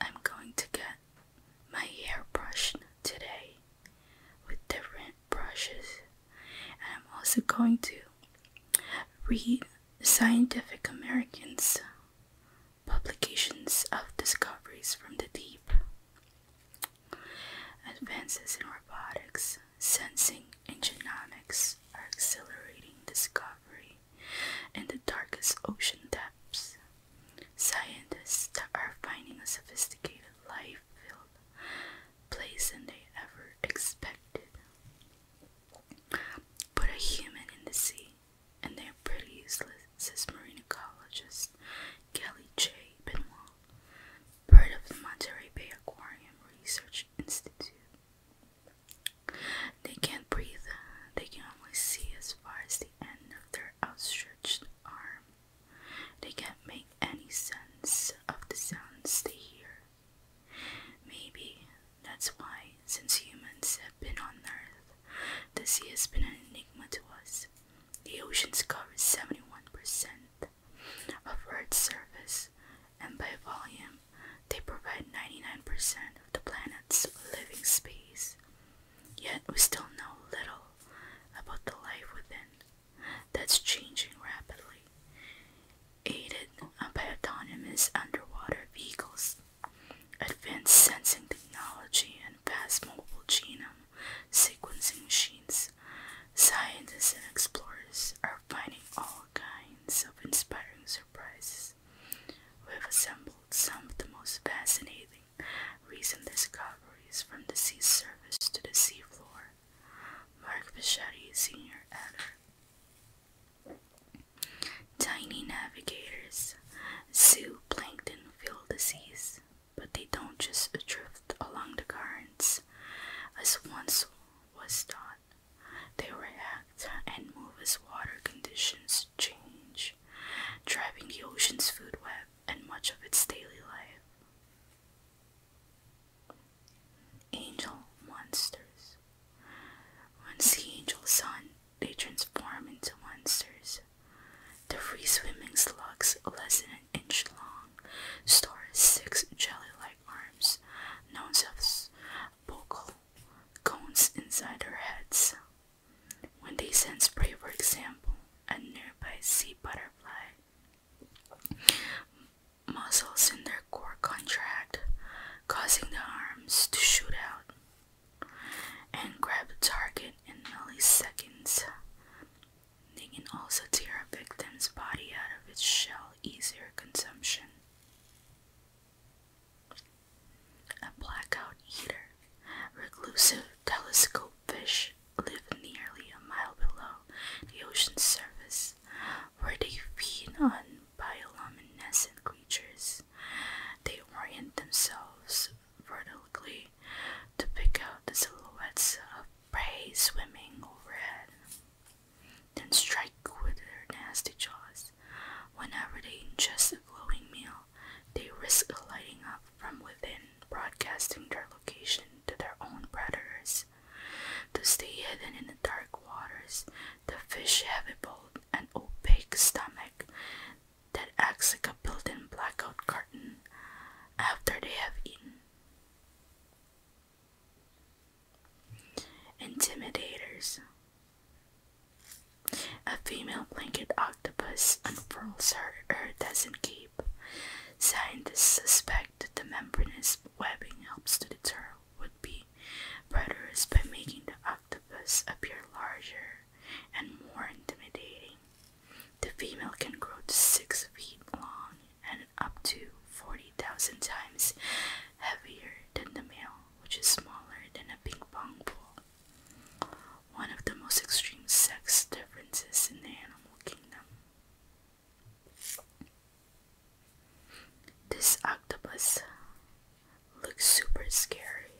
I'm going to get my hair brushed today with different brushes, and I'm also going to read Scientific American's publications of discoveries from the deep. Advances in robotics, sensing, and genomics are accelerating discovery in the darkest ocean depths. Scientists are finding a sophisticated life filled place than they ever expected. Put a human in the sea, and they're pretty useless, says marine ecologist Kelly J. Benoit, part of the Monterey Bay Aquarium Research Institute. They can't breathe. They can only see as far as the end of their outstretched arm. They can't make any sense of the sounds they hear. Maybe that's why, since humans have been on Earth, the sea has been an enigma to us. The oceans cover 71% of Earth's surface, and by volume, they provide 99% of the planet's living space. Yet we still know little about the life within. That's changing rapidly, aided uh, by autonomous underwater vehicles, advanced sensing technology, and fast mobile genome sequencing machines. Scientists and explorers are finding all kinds of inspiring surprises. We've assembled some of the most fascinating recent discoveries from the sea surface to the seafloor. Mark Bichetti, senior editor. Tiny navigators, zooplankton fill the seas, but they don't just drift along the currents, as once was thought. They react and move as water conditions change, driving the ocean's food web and much of its daily life. Angel monsters. Once the angels sun, they transform into monsters. The free swimming slugs, less than an inch long, store six jelly like arms, known as, vocal cones inside their heads. When they sense prey, for example, a nearby sea butterfly, muscles in their core contract, causing the arms to shoot out and grab a target in milliseconds. They can also tear a victim's body out of its shell easier consumption. A blackout eater, reclusive telescope fish live nearly a mile below the ocean's surface, where they feed on bioluminescent creatures. They orient themselves vertically to pick out the silhouettes of prey swimming overhead, then strike with their nasty jaws. Whenever they ingest a glowing meal, they risk lighting up from within, broadcasting their location to their own predators. To stay hidden in the dark waters, the fish have a bold and opaque stomach that acts like a built-in blackout curtain after they have eaten. Intimidators. A female blanket octopus unfurls her or doesn't Scientists suspect that the membranous webbing helps to deter would be predators by making the octopus appear larger and more intimidating. The female can grow to 6 feet long and up to 40,000 times heavier than the male which is smaller than a ping pong ball, one of the most extreme sex differences in the animal kingdom. This octopus looks super scary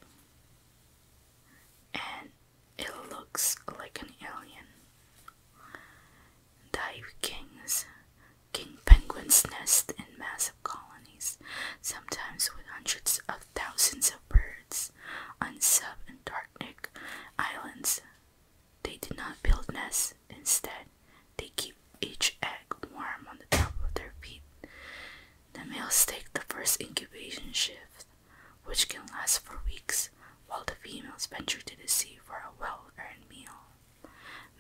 and it looks like an alien. Dive kings King penguins nest in massive colonies, sometimes with hundreds of thousands of birds, on subantarctic islands. They do not build nests, instead, they keep each egg warm on the top of their feet. The males take the first incubation shift, which can last for weeks, while the females venture to the sea for a well earned meal.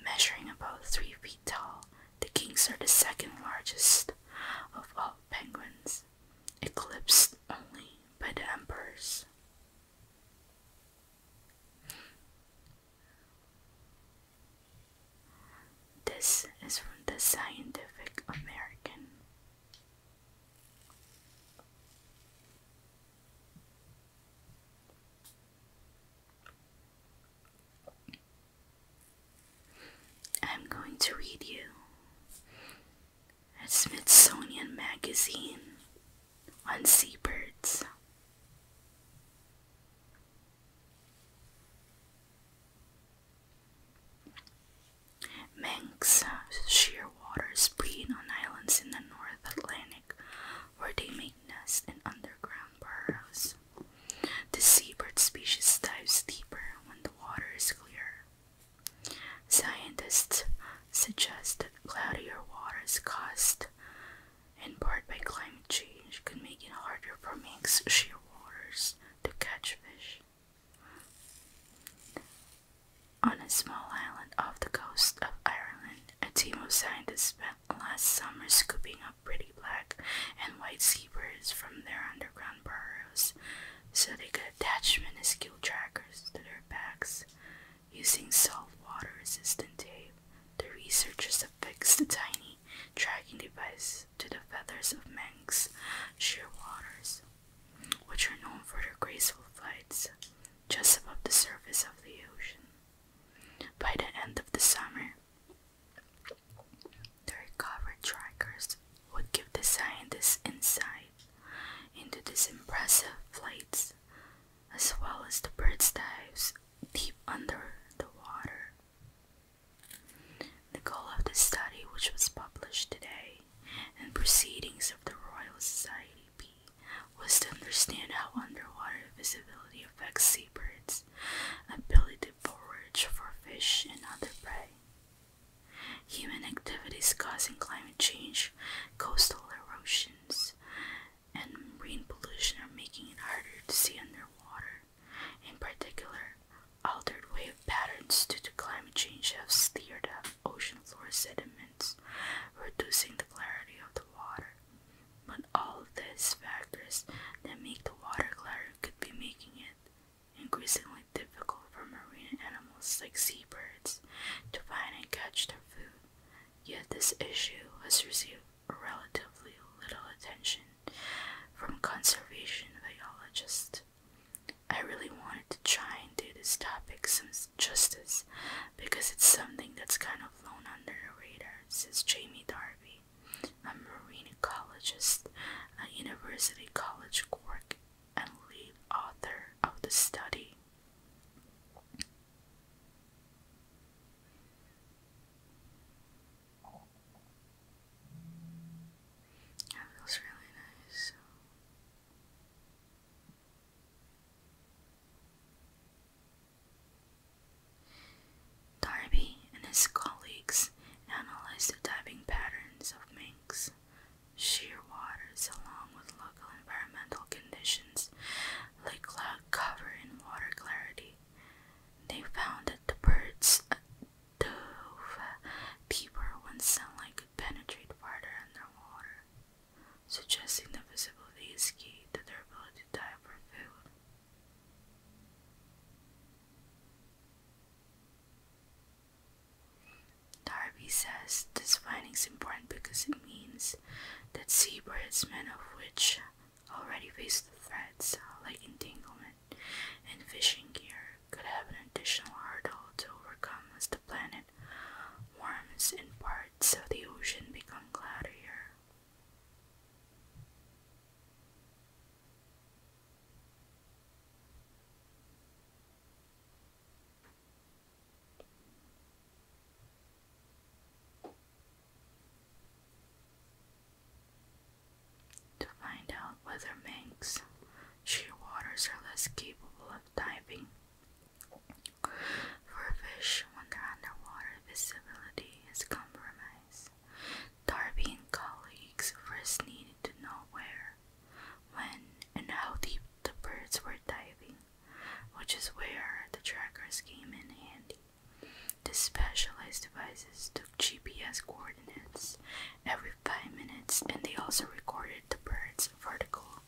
Measuring about three feet tall, the kings are the second largest of all penguins, eclipsed only by the emperors. This is from the Scientific American. I'm going to read you a Smithsonian magazine on seabirds. Manx uh, shearwaters breed on islands in the North Atlantic where they make nests in underground burrows. The seabird species dives deeper when the water is clear. Scientists suggest that cloudier waters caused in part by climate change could make it harder for mixed shearwaters to catch fish. On a small island off the coast of Ireland, a team of scientists spent last summer scooping up pretty black and white seabirds from their underground burrows so they could attach minuscule trackers to their backs. Using salt water resistant tape, the researchers affixed the tiny tracking device to the feathers of Manx shearwaters, which are known for their graceful flights just above the surface of the ocean. By the end of the summer, their cover trackers would give the scientists insight into these impressive flights, as well as the bird's dives deep under the water. The goal of the study, which was published today in Proceedings of the Royal Society B, was to understand how underwater visibility affects seabirds' ability to forage for fish and other prey. Human activities causing climate change, coastal erosions, and marine pollution are making it harder to see underwater. In particular, altered wave patterns due to climate change have steered up ocean floor sediments, reducing the clarity of the water but all of these factors that make the water clearer could be making it increasingly difficult for marine animals like seabirds to find and catch their food. Yet this issue has received relatively little attention from conservation biologists. I really wanted to try and do this topic some justice because it's something that's kind of flown under the radar. This is Jamie Darby, a marine ecologist at University College Cork and lead author of the study. That feels really nice. Darby and his colleagues analyzed the diving patterns of minks, shearwaters, along with local environmental conditions like cloud cover and water clarity. They found that the birds uh, dove deeper uh, when sunlight could penetrate farther underwater suggesting that visibility is key to their ability to dive for food. Darby says this finding is important because it means that seabirds, many of which already face the threats like entanglement and fishing gear, could have an additional hurdle to overcome as the planet warms and parts of the ocean become cloudier. To find out whether minks, shearwaters are less capable of diving for fish, when they're underwater visibility is compromised, Darby and colleagues first needed to know where, when, and how deep the birds were diving, which is where the trackers came in handy. The specialized devices took GPS coordinates every five minutes and they also recorded the birds' vertical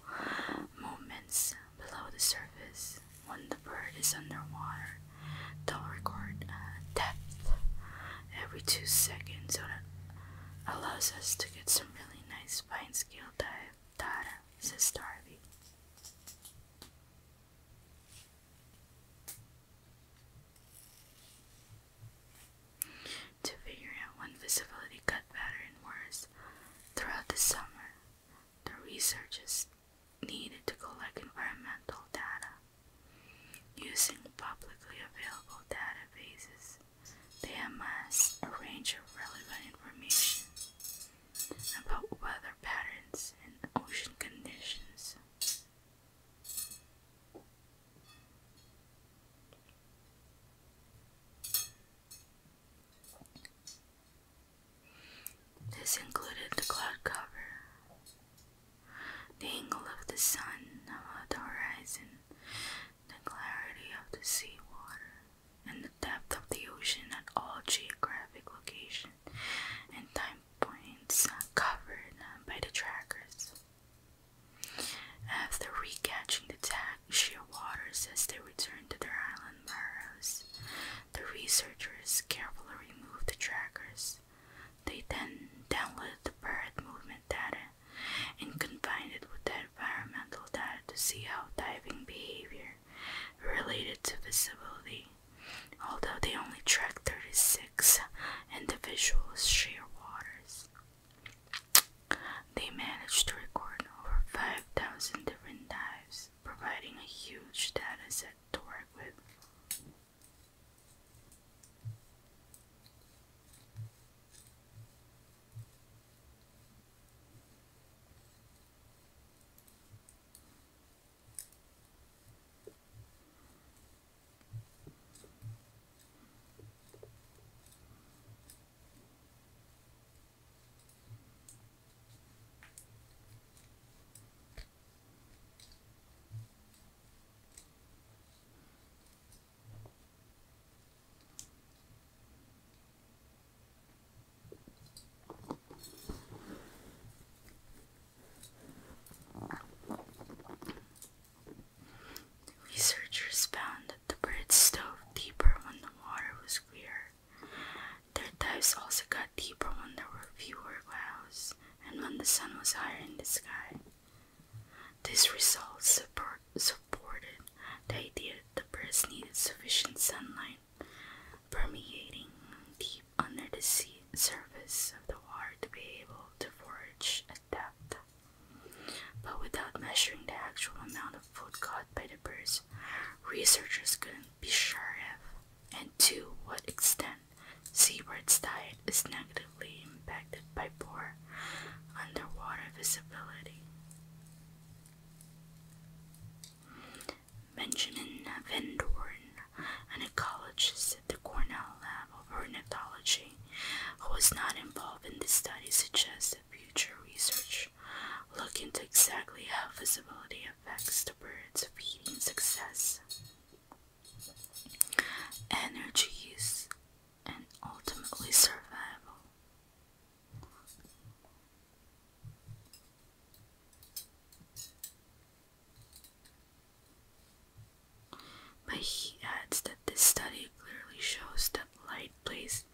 movements below the surface when the bird is underwater. They'll record uh, depth every two seconds, so allows us to get some really nice fine scale dive data, says Darby. To figure out when visibility got better and worse throughout the summer, the researchers needed to collect environmental data. Using publicly available databases, they must arrange relevant information about weather patterns and ocean conditions. This included the cloud cover, the angle of the sun above the horizon, the clarity of the sea water, and the depth of the ocean at all geographic locations and time points covered by the trackers. After recatching the tag, shearwaters as they return to their island the researchers carefully removed the trackers. They then downloaded the bird movement data and combined it with the environmental data to see how diving behavior related to visibility. Although they only tracked 36 individuals, shearwaters, they managed to record over 5,000 different dives providing a huge data set to work with researchers found that the bird's stove deeper when the water was clear their dives also got deeper when there were fewer clouds and when the sun was higher in the sky. These results support, supported the idea that the birds needed sufficient sunlight permeating deep under the sea surface of the water to be able to forage at depth. But without measuring the actual amount food caught by the birds, researchers couldn't be sure of, and to what extent seabirds' diet is negatively impacted by poor underwater visibility. Benjamin Vendorn, an ecologist at the Cornell Lab of Ornithology, who was not involved in this study, suggests that future research look into exactly how visibility affects the bird's feeding success, energy use, and ultimately survival. But he adds that this study clearly shows that light plays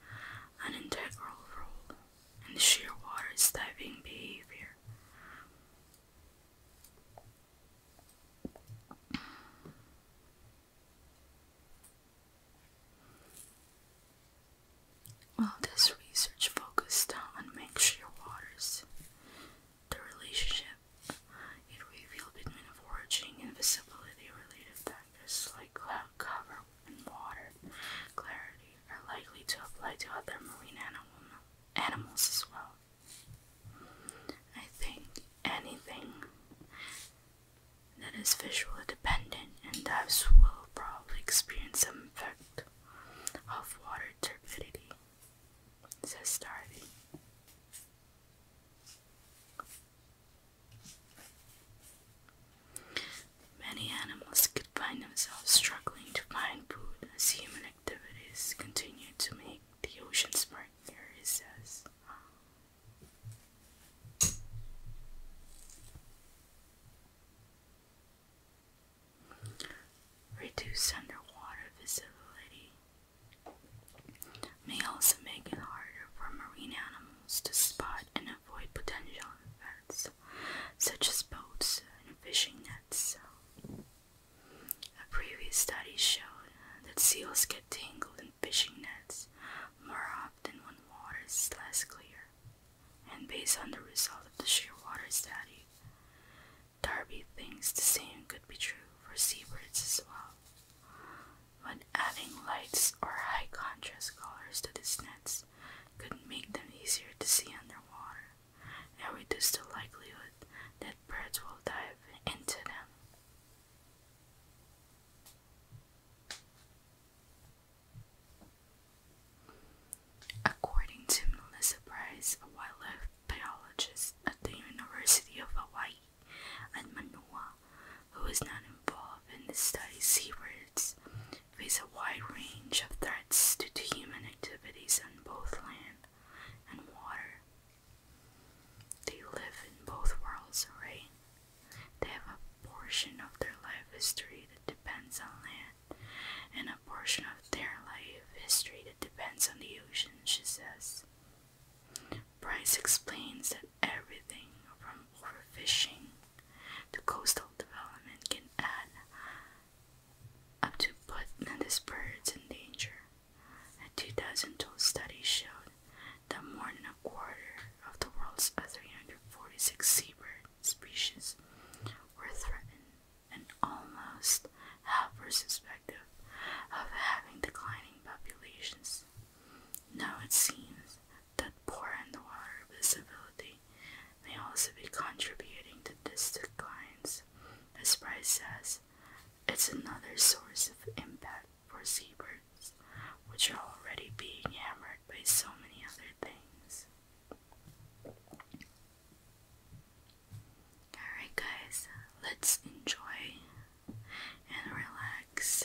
an integral role and shearwater diving behavior. Well, this research focused on make waters. the relationship it revealed between foraging and visibility related factors like cloud cover, and water clarity are likely to apply to other marine animal, animals as well. I think anything that is visually dependent and dives will probably experience some effect of water turbidity, says Darby. Many animals could find themselves struggling to find food as human activities continue to make the oceans brighter, he says. Reduce underwater visibility may also make it harder for marine animals to spot and avoid potential threats, such as boats and fishing nets. A previous study showed that seals get tangled in fishing nets more often when water is less clear. And based on the result of the shearwater study, Darby thinks the same could be true for seabirds as well when adding lights or high contrast colors to the nets could make them easier to see underwater and reduce the likelihood that birds will dive into them. According to Melissa Price, a wildlife biologist at the University of Hawaii at Manoa, who is not involved in the study seabirds, face a wide range of threats due to human activities on both land and water. They live in both worlds, right? They have a portion of their life history that depends on land, and a portion of their life history that depends on the ocean, she says. Price explains that everything from overfishing to coastal development can add up to put these birds in danger. A 2012 study showed that more than a quarter of the world's 346 seabird species were threatened, and almost half were suspected of having declining populations. Now it seems that poor underwater visibility may also be contributing to these declines. As Price says, it's another source of impact for seabirds, which are already being hammered by so many other things. Alright, guys, let's enjoy and relax.